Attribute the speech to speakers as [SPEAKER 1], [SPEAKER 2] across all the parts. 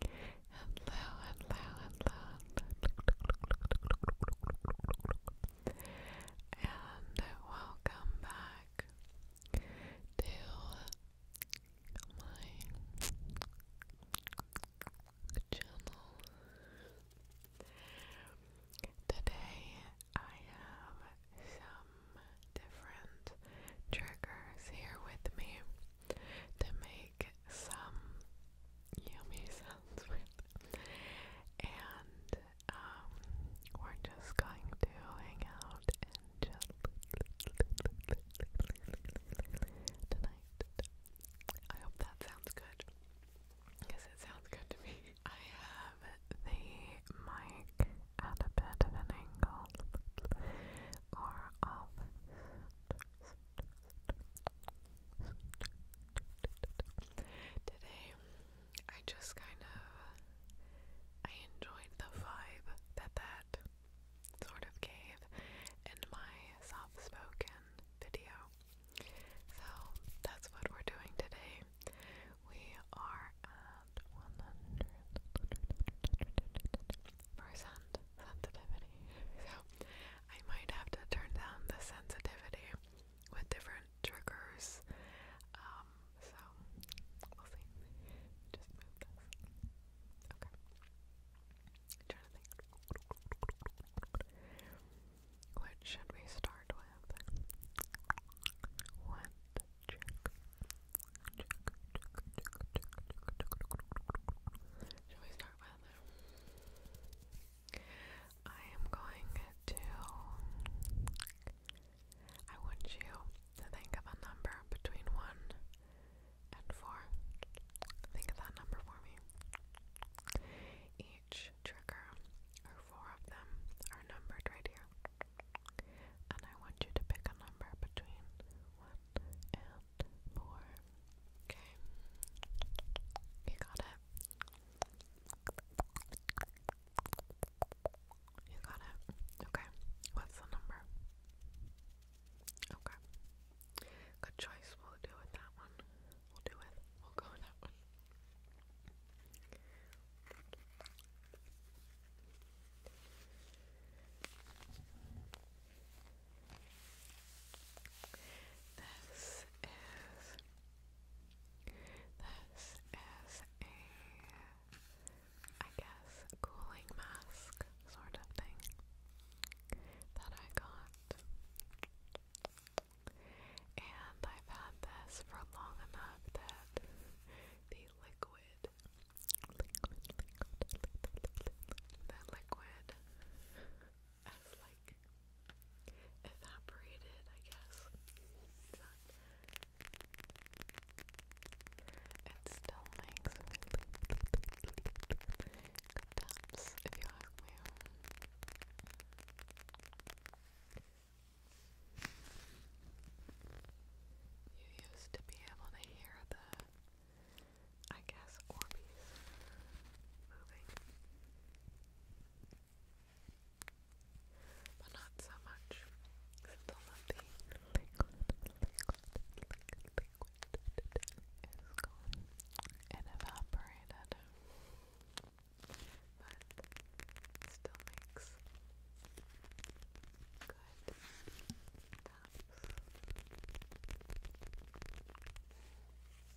[SPEAKER 1] hello, hello, hello, and welcome back to my channel. Today I have some different triggers here with me to make some yummy sounds And um, we're just going to hang out and chill tonight. I hope that sounds good. Because it sounds good to me. I have the mic at a bit of an angle or off. Today, I just kind of I enjoyed the vibe that that sort of gave in my soft-spoken video. So that's what we're doing today. We are at 100 percent sensitivity. So I might have to turn down the sensitivity with different triggers. Um, so we'll see. Just move this. Okay. i should we start with? What rather. I am going to. I want you to think of a number between 1 and 4. Think of that number for me. Each trigger, or four of them, are numbered right here. And I want you to pick a number between 1 and around Okay. You got it. You got it. Okay. What's the number? Okay. Good choice. We'll do with that one. We'll do it. We'll go with that one. This is this is a I guess cooling mask sort of thing that I got. And I've had this for long enough that the liquid liquid liquid, liquid the liquid as like evaporated, I guess. It still makes really if you ask me. You used to be able to hear the I guess Orbeez moving. But not so much. Still love the liquid, liquid, liquid, liquid is gone and evaporated. But still makes good taps.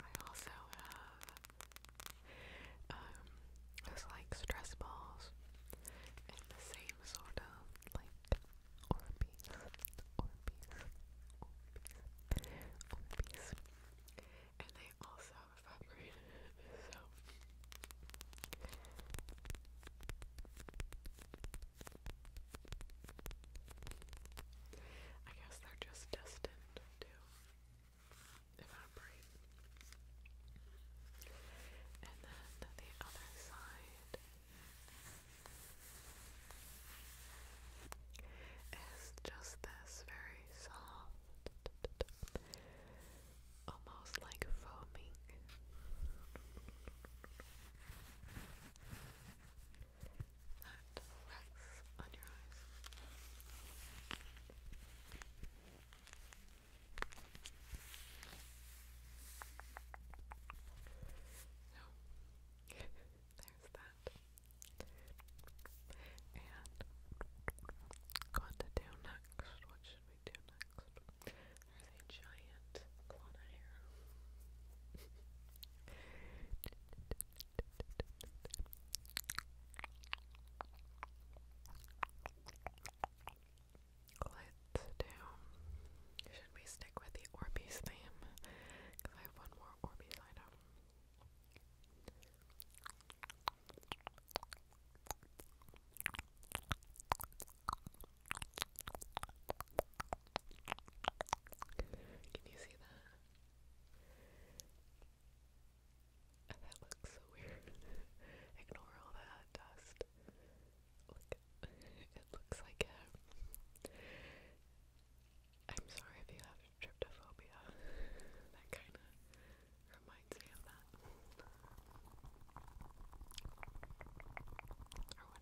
[SPEAKER 1] I also have um those like stress balls in the same sort of like And they also vibrate I guess they're just destined to evaporate. And then the other side is just this very soft almost like foaming. That rests on your eyes. So, there's that. And going to do next, what should we giant Let's do. Should we stick with the Orbeez theme? Because I have one more Orbeez item. Can you see that? that looks so weird. Ignore all that dust. Look, it looks like a. I'm sorry if you have tryptophobia. that kind of reminds might say Or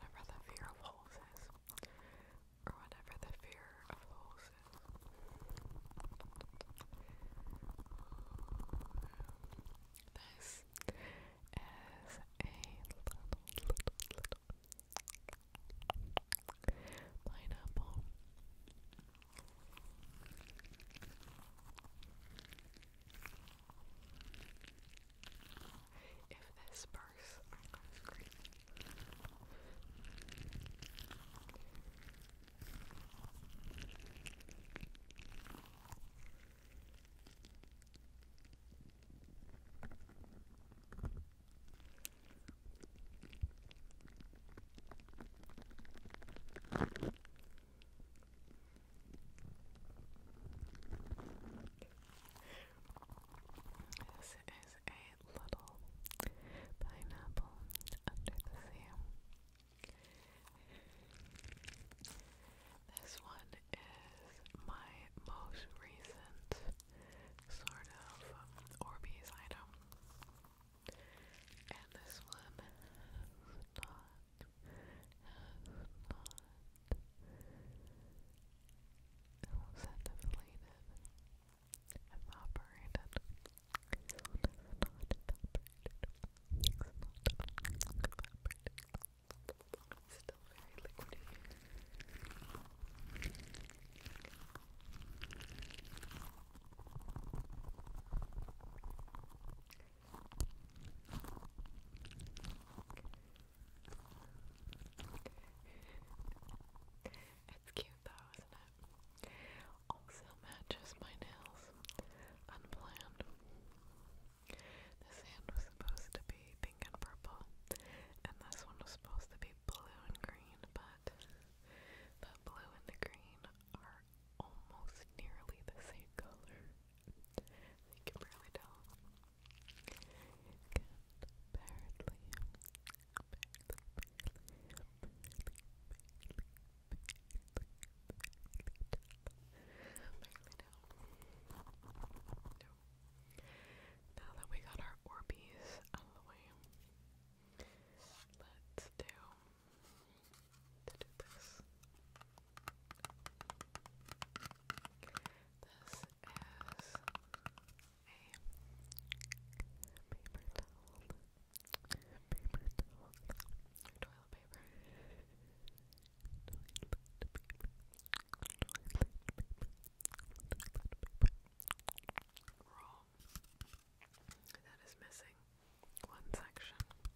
[SPEAKER 1] whatever the fear of holes is. Or whatever the fear of holes is. This is a little, little, little pineapple. If this bursts, I'm gonna scream. This is a little pineapple under the sea. This one is my most recent sort of Orbeez item. And this one has not evaporated. Evaporated. not evaporated. not evaporated. still very liquidy it's cute though, isn't it? Also matches my nails. Unplanned. The sand was supposed to be pink and purple, and this one was supposed to be blue and green, but the blue and the green are almost nearly the same color. You can barely tell. You Now that we got our Orbeez out of the way, let's do to do this. is a paper towel. Paper towel. Toilet paper. Toilet That is missing one section.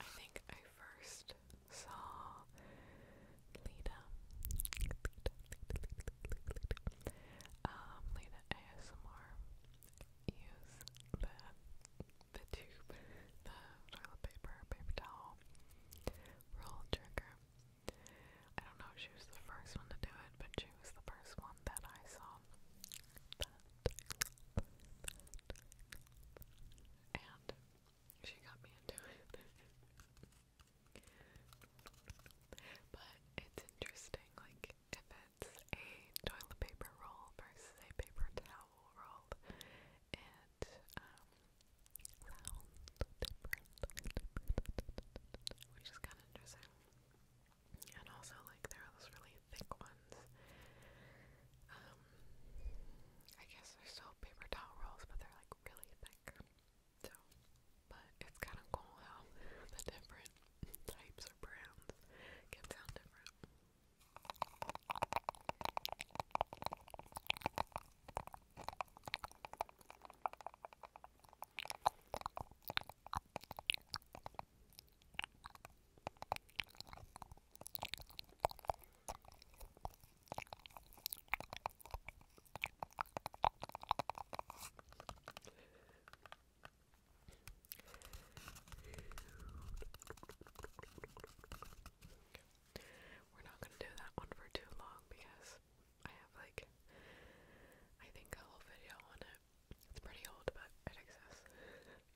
[SPEAKER 1] I think I first saw Lita, um, Lena ASMR use the, the tube, the toilet paper, paper towel, roll trigger. I don't know if she was the first one to do it, but she was the first one that I saw. That, and she got me into it. but it's interesting, like like if it's a toilet paper roll versus a paper towel roll, it um, sounds different, which is kind of interesting. And also, like, there are those really thick ones. Um, I guess they're still paper towel rolls, but they're like really thick. So, but it's kind of cool how the different types of browns can sound different. Okay. We're not gonna do that one for too long because I have like I think a whole video on it. It's pretty old but it exists.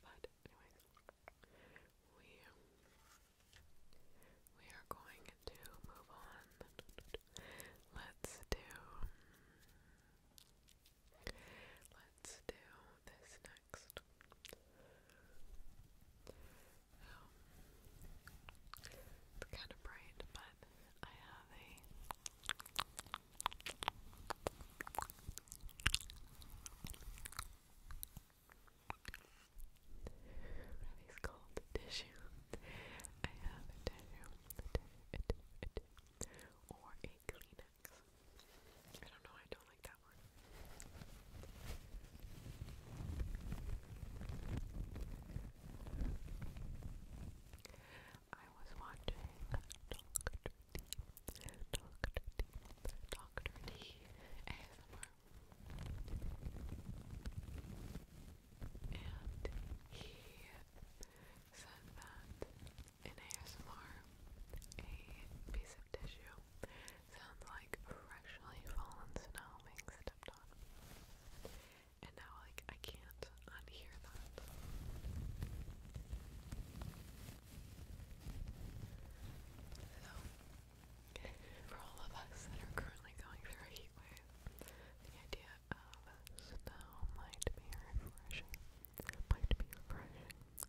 [SPEAKER 1] but anyways we we are going to move on. Let's do Let's do this next. it's um, kind of bright, but I have a what are Tissue. I have a tissue. Or a Kleenex. I don't know, I don't like that one. I was watching Doctor D. Doctor D. Doctor D. ASMR. And he said that in ASMR, a piece of tissue sounds like freshly fallen snow being stepped on. And now, like, I can't unhear that. So, for all of us that are currently going through a heat the idea of snow might be refreshing. Might be refreshing. You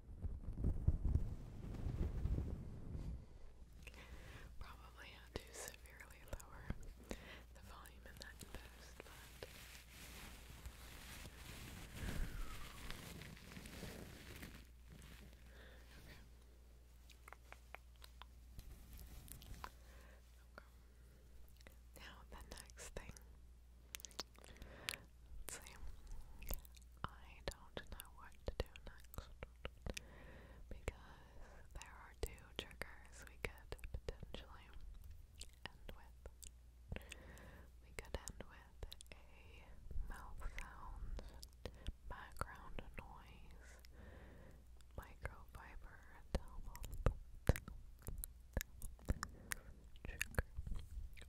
[SPEAKER 1] Probably had to severely lower the volume in that post, but Now the next thing Let's I don't know what to do next because there are two triggers we could potentially end with. We could end with a mouth sound, background noise, microfiber, towel, trigger.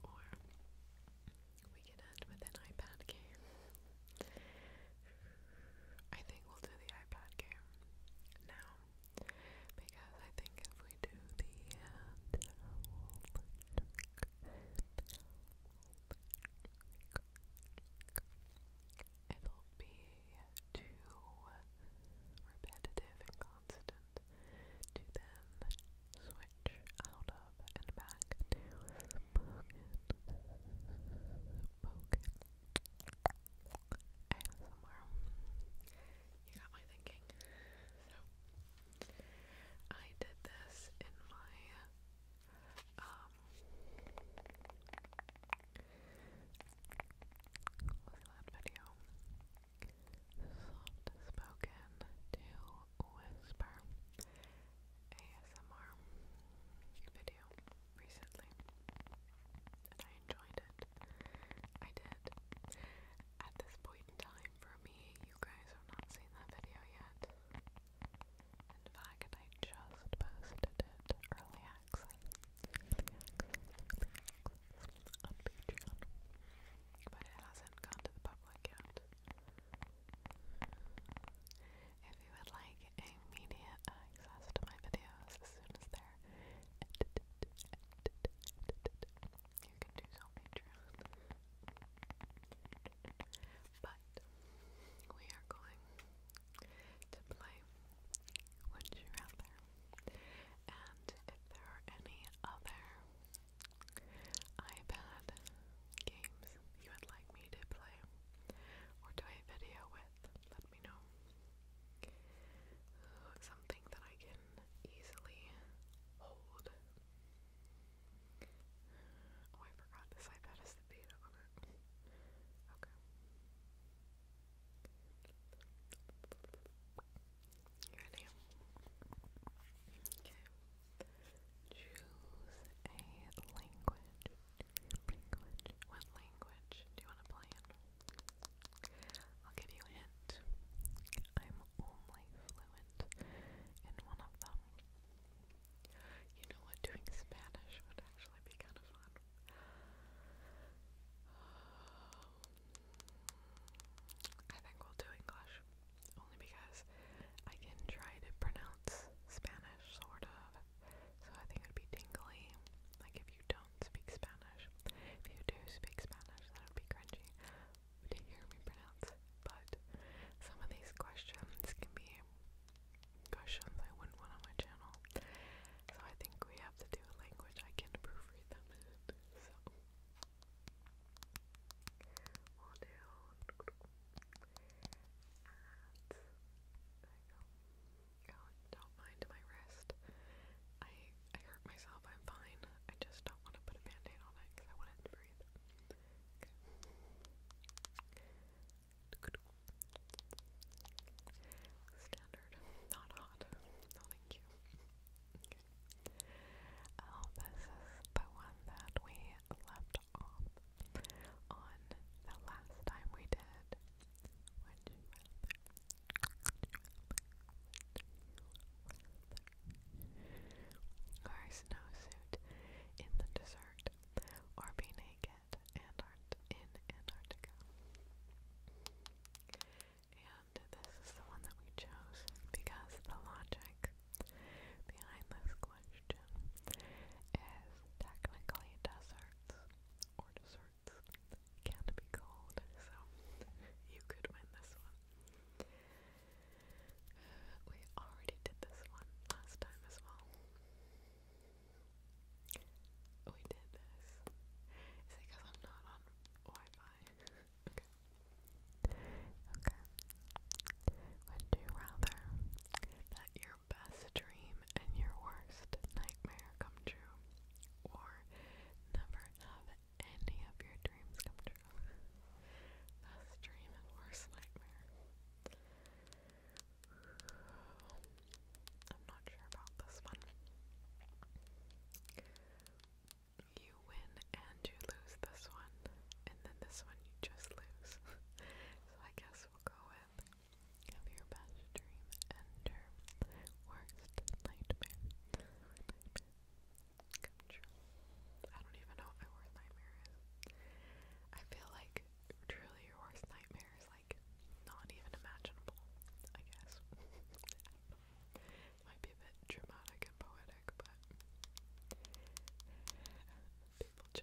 [SPEAKER 1] Or we can end with an iPad game. I think we'll do the iPad game now because I think if we do the uh, it'll be too repetitive and constant to then switch out of and back to spoken, spoken ASMR. You got my thinking. So, I did this in my, um, what video? soft spoken to whisper ASMR video recently, and I enjoyed it. I did. At this point in time, for me, you guys have not seen that video yet. In fact, I just posted it early access, on Patreon, but it hasn't gone to the public lookout. If you would like immediate access to my videos as soon as they're you can do so But we are going to play Would You Rather? And if there are any other iPad games you would like me to play or do a video with, let me know. Uh, something that I can easily hold. Oh, I forgot this iPad has the data on it. Okay ready? Okay. Choose a Language. What language do you want to play in? I'll give you a hint. I'm only fluent in one of them. You know what? Doing Spanish would actually be kind of fun. I think we'll do English only because I can try to pronounce Spanish, sort of. So I think it would be tingly, like if you don't speak Spanish. If you do speak Spanish, that would be cringy to hear me pronounce But some of these questions can be questions I wouldn't want on my channel. So I think we have to do a language I can proofread them So do. not mind my wrist. I I hurt myself. I'm fine. I just don't want to put a band on it because I want to breathe. Standard. Not hot. No, thank you. Um, this is the one that we left off on the last time we did. Would you snowsuit in the desert, or be naked and in Antarctica this is the one that we chose because the logic behind this question is technically desserts or desserts can be cold, so you could win this one. We already did this one last time as well. We did this. Is it because I'm not on Wi Fi? okay. Would you rather that your best dream and your worst nightmare come true, or never have any of your dreams come true? best dream and worst nightmare. I'm not sure about this one you win and you lose this one, and then this one you just lose. so I guess we'll go with have your best dream and your worst nightmare. Come true. I don't even know what my worst nightmare is. I feel like truly your worst nightmare is like not even imaginable, I guess. Might be a bit dramatic and poetic, but people choose this one. Would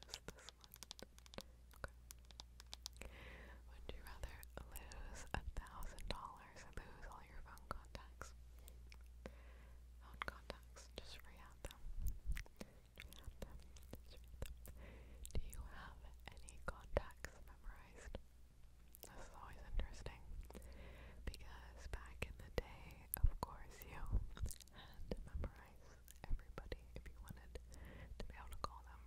[SPEAKER 1] you rather lose a thousand dollars or lose all your phone contacts? Phone contacts, just re them. Do you have any contacts memorized? This is always interesting because back in the day, of course, you had to memorize everybody if you wanted to be able to call them.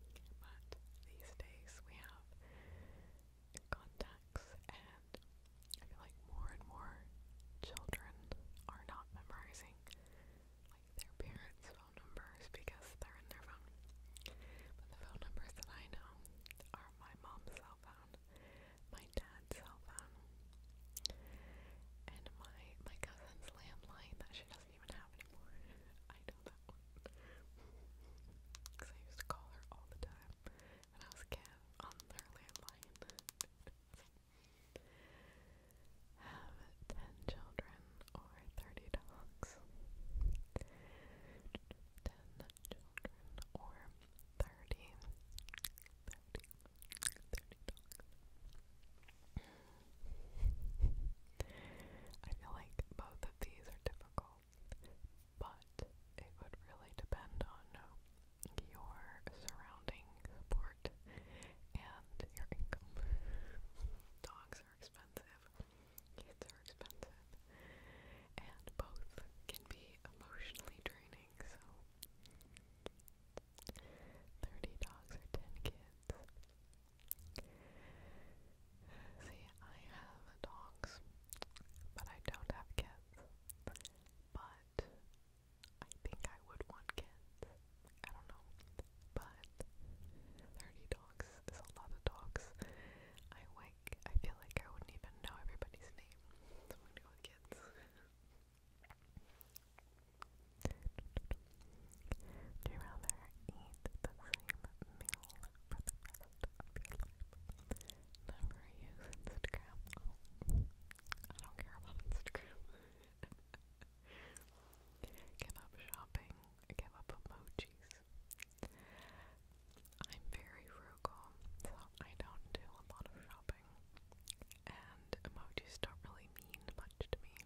[SPEAKER 1] But these days we have contacts, and I feel like more and more children are not memorizing like their parents' phone numbers because they're in their phone. But the phone numbers that I know are my mom's cell phone my dad's cell phone and my my cousin's landline that she doesn't even have anymore. I know that one because I used to call her all the time when I was a kid on her landline. have ten children or thirty dogs. Ten children or thirty, thirty, thirty dogs. I feel like both of these are difficult, but it would really depend on your surrounding support and your income. Dogs are expensive, kids are expensive, and both can be emotionally draining anything, so. 30 dogs or 10 kids. See, I have dogs, but I don't have kids. But I think I would want kids. I don't know. But 30 dogs is a lot of dogs. I like, I feel like I wouldn't even know everybody's name. So I'm gonna go with kids kids. Do you rather eat the same meal for the rest Never use Instagram. I don't care about Instagram. give up shopping. Give up emojis. I'm very frugal, so I don't do a lot of shopping, and emojis don't really mean much to me.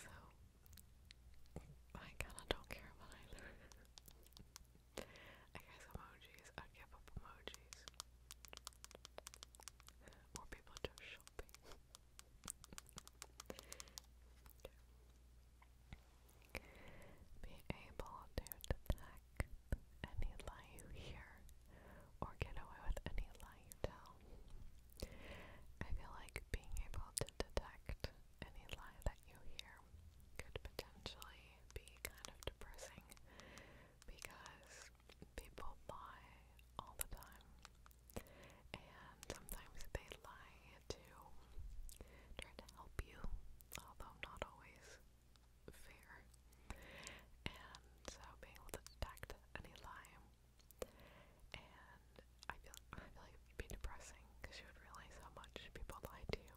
[SPEAKER 1] so, I kinda don't care about either. I guess emojis, I give up emojis. More people just shopping. Be able to detect any lie you hear or get away with any lie you tell. I feel like being able to detect any lie that you hear could potentially be kind of depressing because people lie all the time and sometimes they lie to try to help you, although not always fair. And so being able to detect any lie. And I feel, I feel like it would be depressing because you would realize how much people lie to you.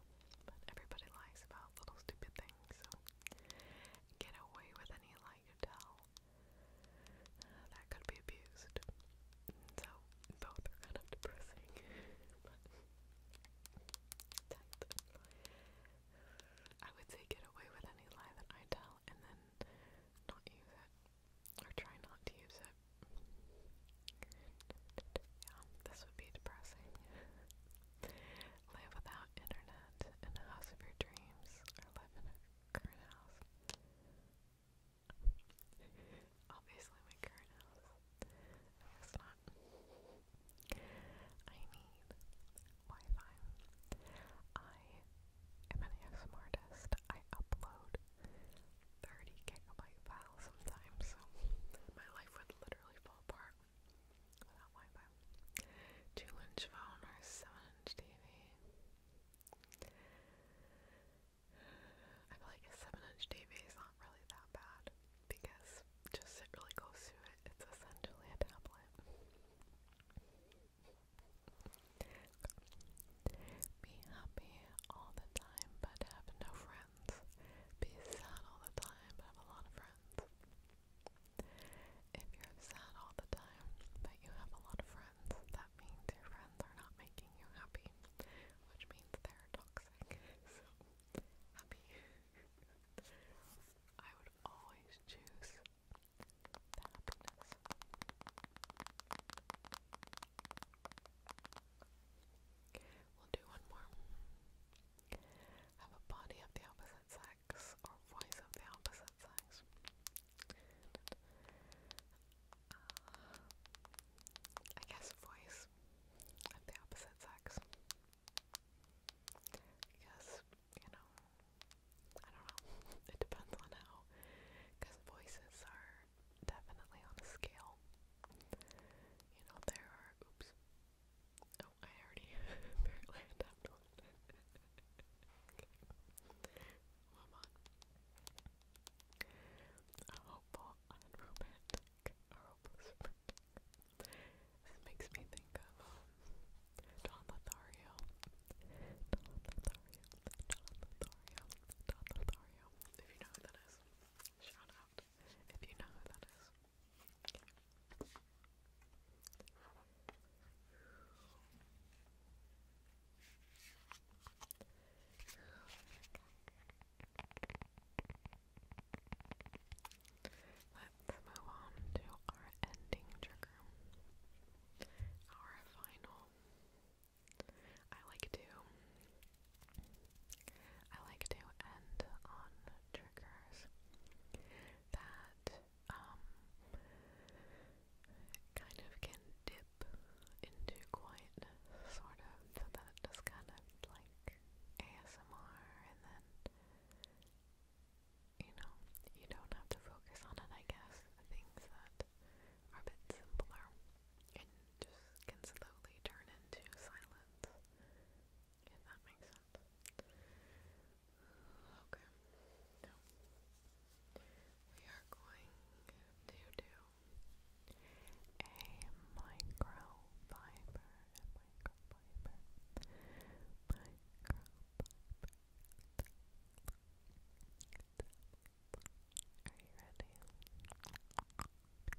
[SPEAKER 1] everybody lies about little stupid things, so get away with any lie you tell. that could be abused. So both are kind of depressing. I would say get away with any lie that I tell and then not use it. Or try not to use it. Yeah, this would be depressing. live without internet in the house of your dreams or live in a current house obviously my current house. I not. I need Wi-Fi. I am an ASMR I upload 30 gigabyte files sometimes, so my life would literally fall apart without Wi-Fi. Two inch phone or seven inch TV. I feel like a seven inch TV is not really that bad because just sit really close to it. It's essentially a tablet. Be happy all the time but have no friends. Be sad all the time but have a lot of friends. If you're sad all the time but you have a lot of friends, that means your friends are not making you happy, which means they're toxic. So happy. I would always choose the happiness. We'll do one more. Have a body of the opposite sex or voice of the opposite sex. Uh, I guess voice sex the opposite sex because you know I don't know it depends on how because voices are definitely on a scale you know there are oops oh I already apparently adapted one okay. on a hopeful, unromantic, a hopeless romantic this makes me think of um, John Lothario. John Lothario. John Lothario. John Lothario. If you know who that is, shout out. If you know who that is. Okay. Let's move on to our ending trigger. Our final. I like to I like to end on triggers that um kind of can dip into quietness sort of that just kind of with like ASMR and then you know, you don't have to focus on it I guess. Things that are a bit simpler and just can slowly turn into silence. If that makes sense. Okay. Now we are going to do a microfiber and microfiber. Microfiber. Are you ready?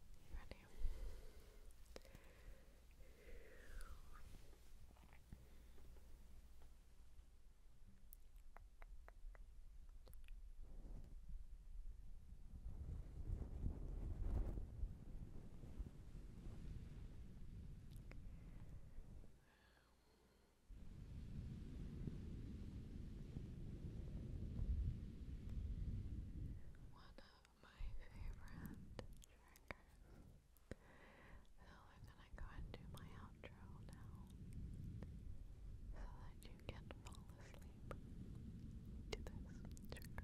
[SPEAKER 1] ready? One of my favorite triggers. So we're gonna go and do my outro now so that you can fall asleep to this trigger.